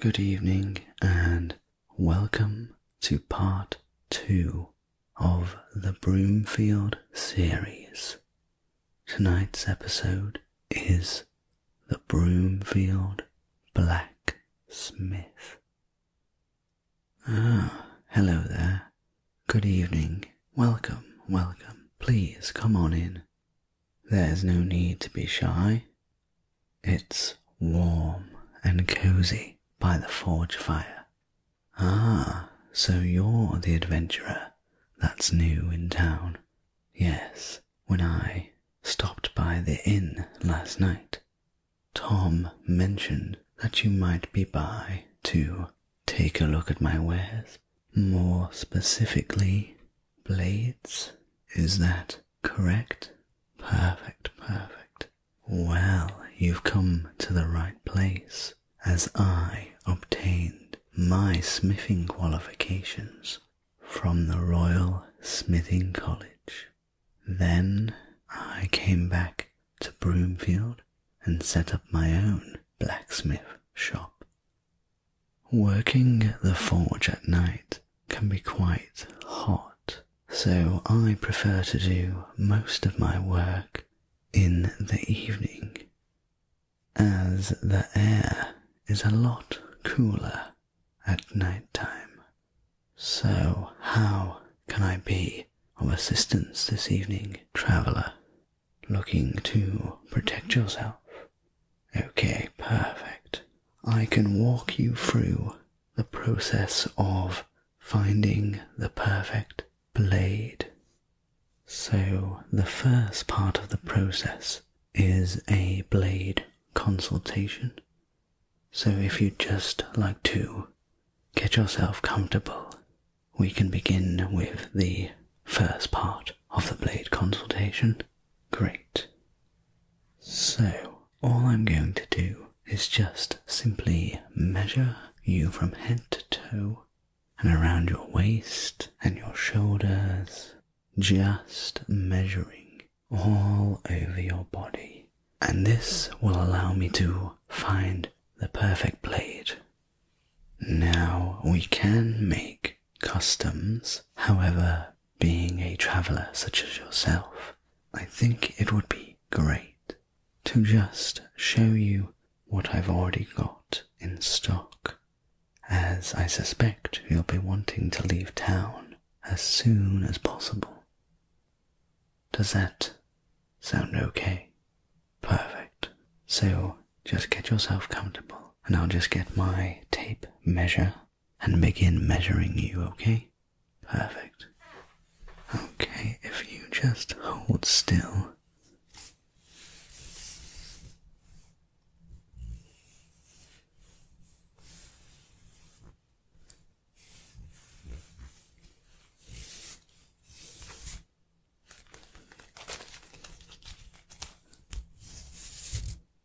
Good evening and welcome to part two of the Broomfield series. Tonight's episode is the Broomfield Blacksmith. Ah, hello there. Good evening. Welcome, welcome. Please come on in there's no need to be shy. It's warm and cozy by the forge fire. Ah, so you're the adventurer that's new in town. Yes, when I stopped by the inn last night, Tom mentioned that you might be by to take a look at my wares. More specifically, blades. Is that correct? Perfect, perfect. Well, you've come to the right place, as I obtained my smithing qualifications from the Royal Smithing College. Then I came back to Broomfield and set up my own blacksmith shop. Working the forge at night can be quite hot, so I prefer to do most of my work in the evening, as the air is a lot cooler at night time. So, how can I be of assistance this evening, traveller, looking to protect yourself Okay, perfect. I can walk you through the process of finding the perfect blade. So, the first part of the process is a blade consultation. So, if you'd just like to get yourself comfortable, we can begin with the first part of the blade consultation? Great. So, all I'm going to do is just simply measure you from head to toe and around your waist and your shoulders, just measuring all over your body. And this will allow me to find the perfect blade. Now we can make customs. However, being a traveller such as yourself, I think it would be great to just show you what I've already got in stock, as I suspect you'll be wanting to leave town as soon as possible. Does that sound okay? Perfect. So just get yourself comfortable, and I'll just get my tape measure and begin measuring you, okay? Perfect. Okay, if you just hold still.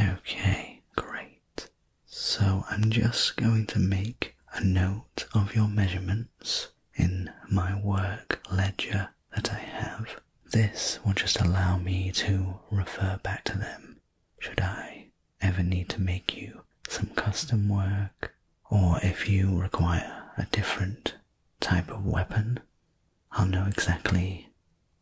Okay, great. So I'm just going to make a note of your measurements in my work ledger that I have. This will just allow me to refer back to them should I ever need to make you some custom work, or if you require a different type of weapon, I'll know exactly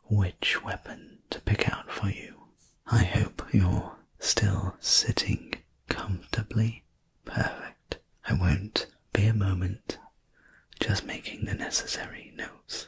which weapon to pick out for you. I hope you're still sitting comfortably. Perfect. I won't be a moment, just making the necessary notes.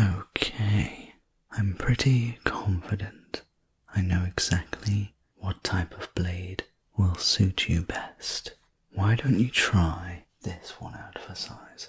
Okay, I'm pretty confident I know exactly what type of blade will suit you best. Why don't you try this one out for size?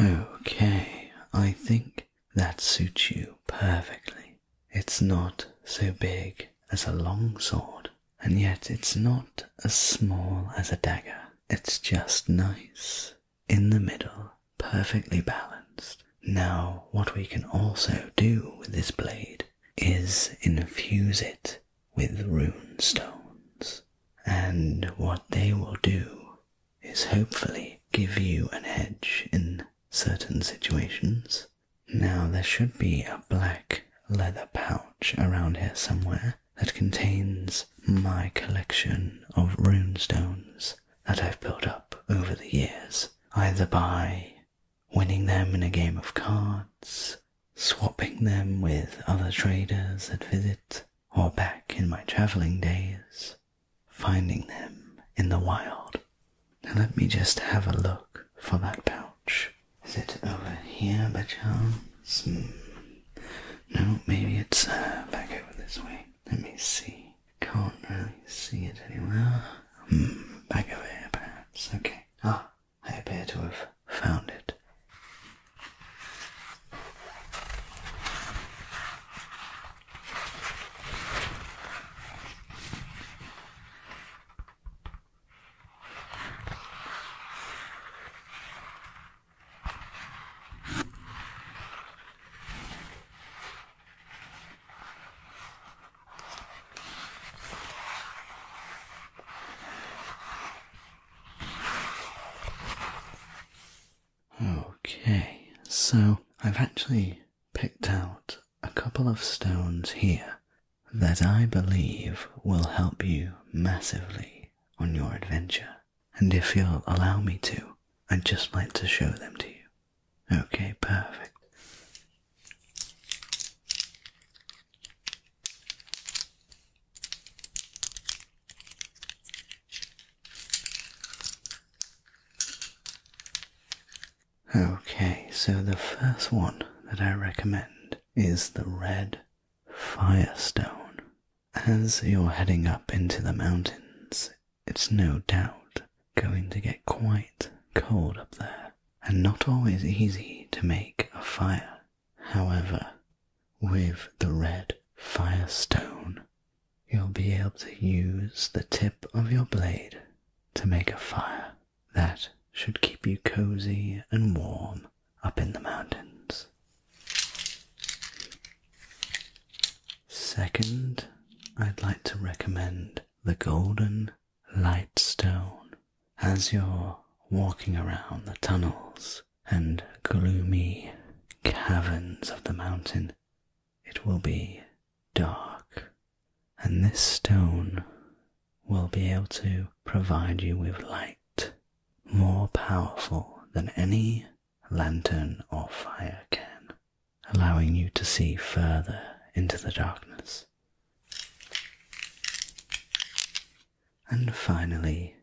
Okay, I think that suits you perfectly. It's not so big as a long sword, and yet it's not as small as a dagger. It's just nice, in the middle, perfectly balanced. Now, what we can also do with this blade is infuse it with rune stones, and what they will do is hopefully give you an edge in certain situations. Now, there should be a black leather pouch around here somewhere that contains my collection of runestones that I've built up over the years, either by winning them in a game of cards, swapping them with other traders at visit, or back in my traveling days, finding them in the wild. Now let me just have a look for that pouch. Is it over here by chance? Hmm. No, maybe it's uh, back over this way. Let me see. Can't really see it anywhere. Hmm, back over here, perhaps. Okay. Ah, I appear to have found it. Okay, so I've actually picked out a couple of stones here that I believe will help you massively on your adventure. And if you'll allow me to, I'd just like to show them to you. Okay, perfect. Okay, so the first one that I recommend is the Red Firestone. As you're heading up into the mountains, it's no doubt going to get quite cold up there, and not always easy to make a fire However, with the red firestone, you'll be able to use the tip of your blade to make a fire that should keep you cozy and warm up in the mountains. Second, I'd like to recommend the golden light stone as you're walking around the tunnels and gloomy caverns of the mountain, it will be dark, and this stone will be able to provide you with light more powerful than any lantern or fire can, allowing you to see further into the darkness. And finally,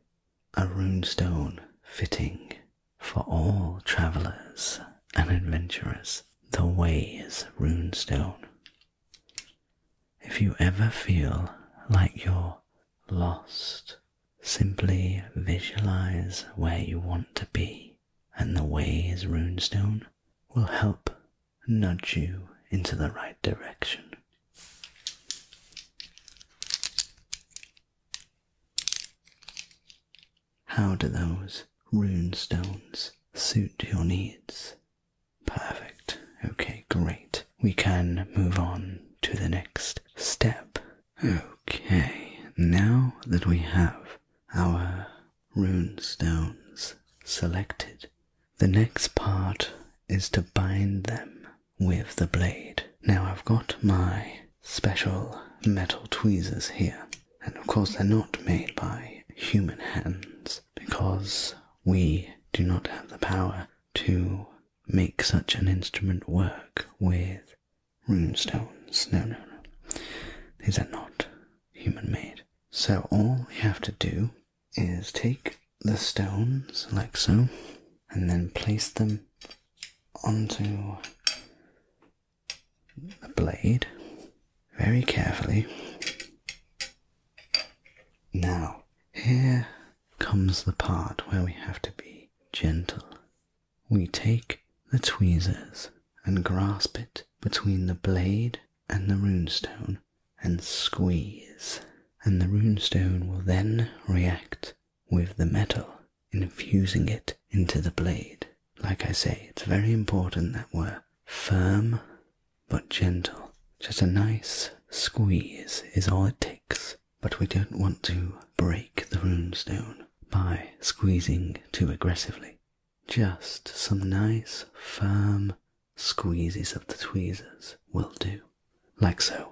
a runestone fitting for all travellers and adventurers, the Way Ways runestone. If you ever feel like you're lost, simply visualize where you want to be, and the Way Ways runestone will help nudge you into the right direction. How do those rune stones suit your needs? Perfect. Okay, great. We can move on to the next step. Okay, now that we have our rune stones selected, the next part is to bind them with the blade. Now I've got my special metal tweezers here, and of course they're not made by human hands because we do not have the power to make such an instrument work with rune stones. No, no, no. These are not human made. So all we have to do is take the stones like so, and then place them onto the blade very carefully. Now, here comes the part where we have to be gentle. We take the tweezers and grasp it between the blade and the runestone and squeeze, and the runestone will then react with the metal, infusing it into the blade. Like I say, it's very important that we're firm but gentle. Just a nice squeeze is all it takes, but we don't want to break the runestone by squeezing too aggressively. Just some nice, firm squeezes of the tweezers will do, like so.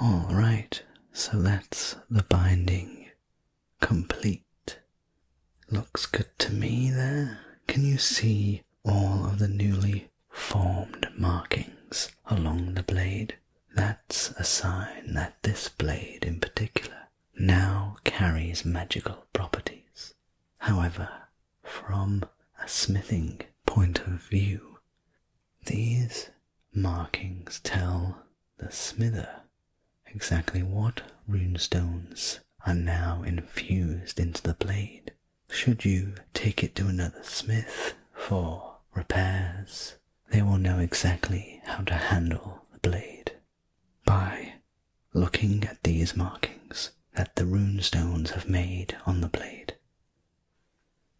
All right, so that's the binding complete. Looks good to me there. Can you see all of the newly formed markings along the blade? That's a sign that this blade in particular now carries magical properties. However, from a smithing point of view, these Markings tell the smither exactly what runestones are now infused into the blade, should you take it to another smith for repairs. They will know exactly how to handle the blade by looking at these markings that the runestones have made on the blade.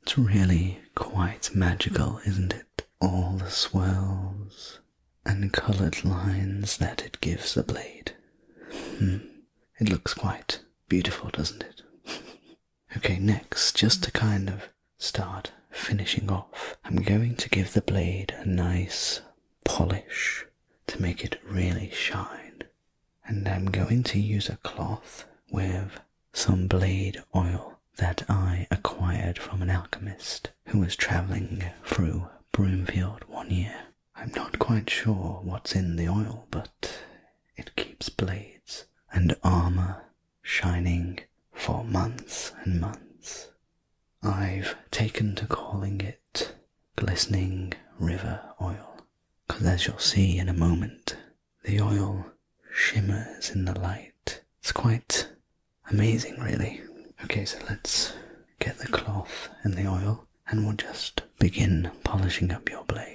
It's really quite magical, isn't it? all the swirls and coloured lines that it gives the blade. Hmm. It looks quite beautiful, doesn't it? okay, next, just to kind of start finishing off, I'm going to give the blade a nice polish to make it really shine. And I'm going to use a cloth with some blade oil that I acquired from an alchemist who was travelling through Broomfield one year. I'm not quite sure what's in the oil, but it keeps blades and armour shining for months and months. I've taken to calling it glistening river oil, because as you'll see in a moment, the oil shimmers in the light. It's quite amazing, really. Okay, so let's get the cloth and the oil, and we'll just begin polishing up your blade.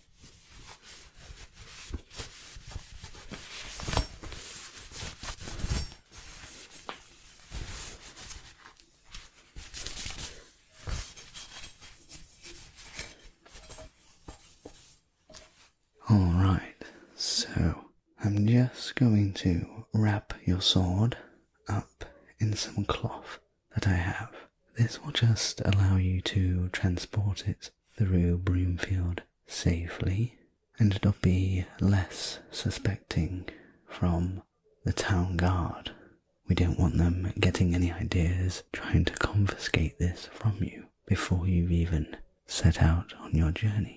All right, so I'm just going to wrap your sword up in some cloth that I have. This will just allow you to transport it through Broomfield safely and not be less suspecting from the town guard. We don't want them getting any ideas trying to confiscate this from you before you've even set out on your journey.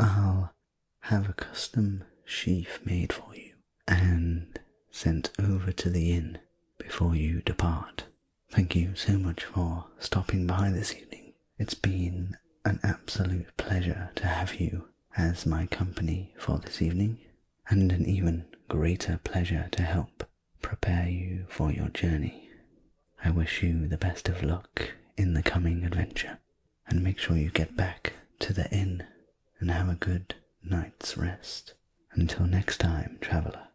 I'll have a custom sheaf made for you and sent over to the inn before you depart. Thank you so much for stopping by this evening. It's been an absolute pleasure to have you as my company for this evening, and an even greater pleasure to help prepare you for your journey. I wish you the best of luck in the coming adventure, and make sure you get back to the inn and have a good night's rest. Until next time, traveler.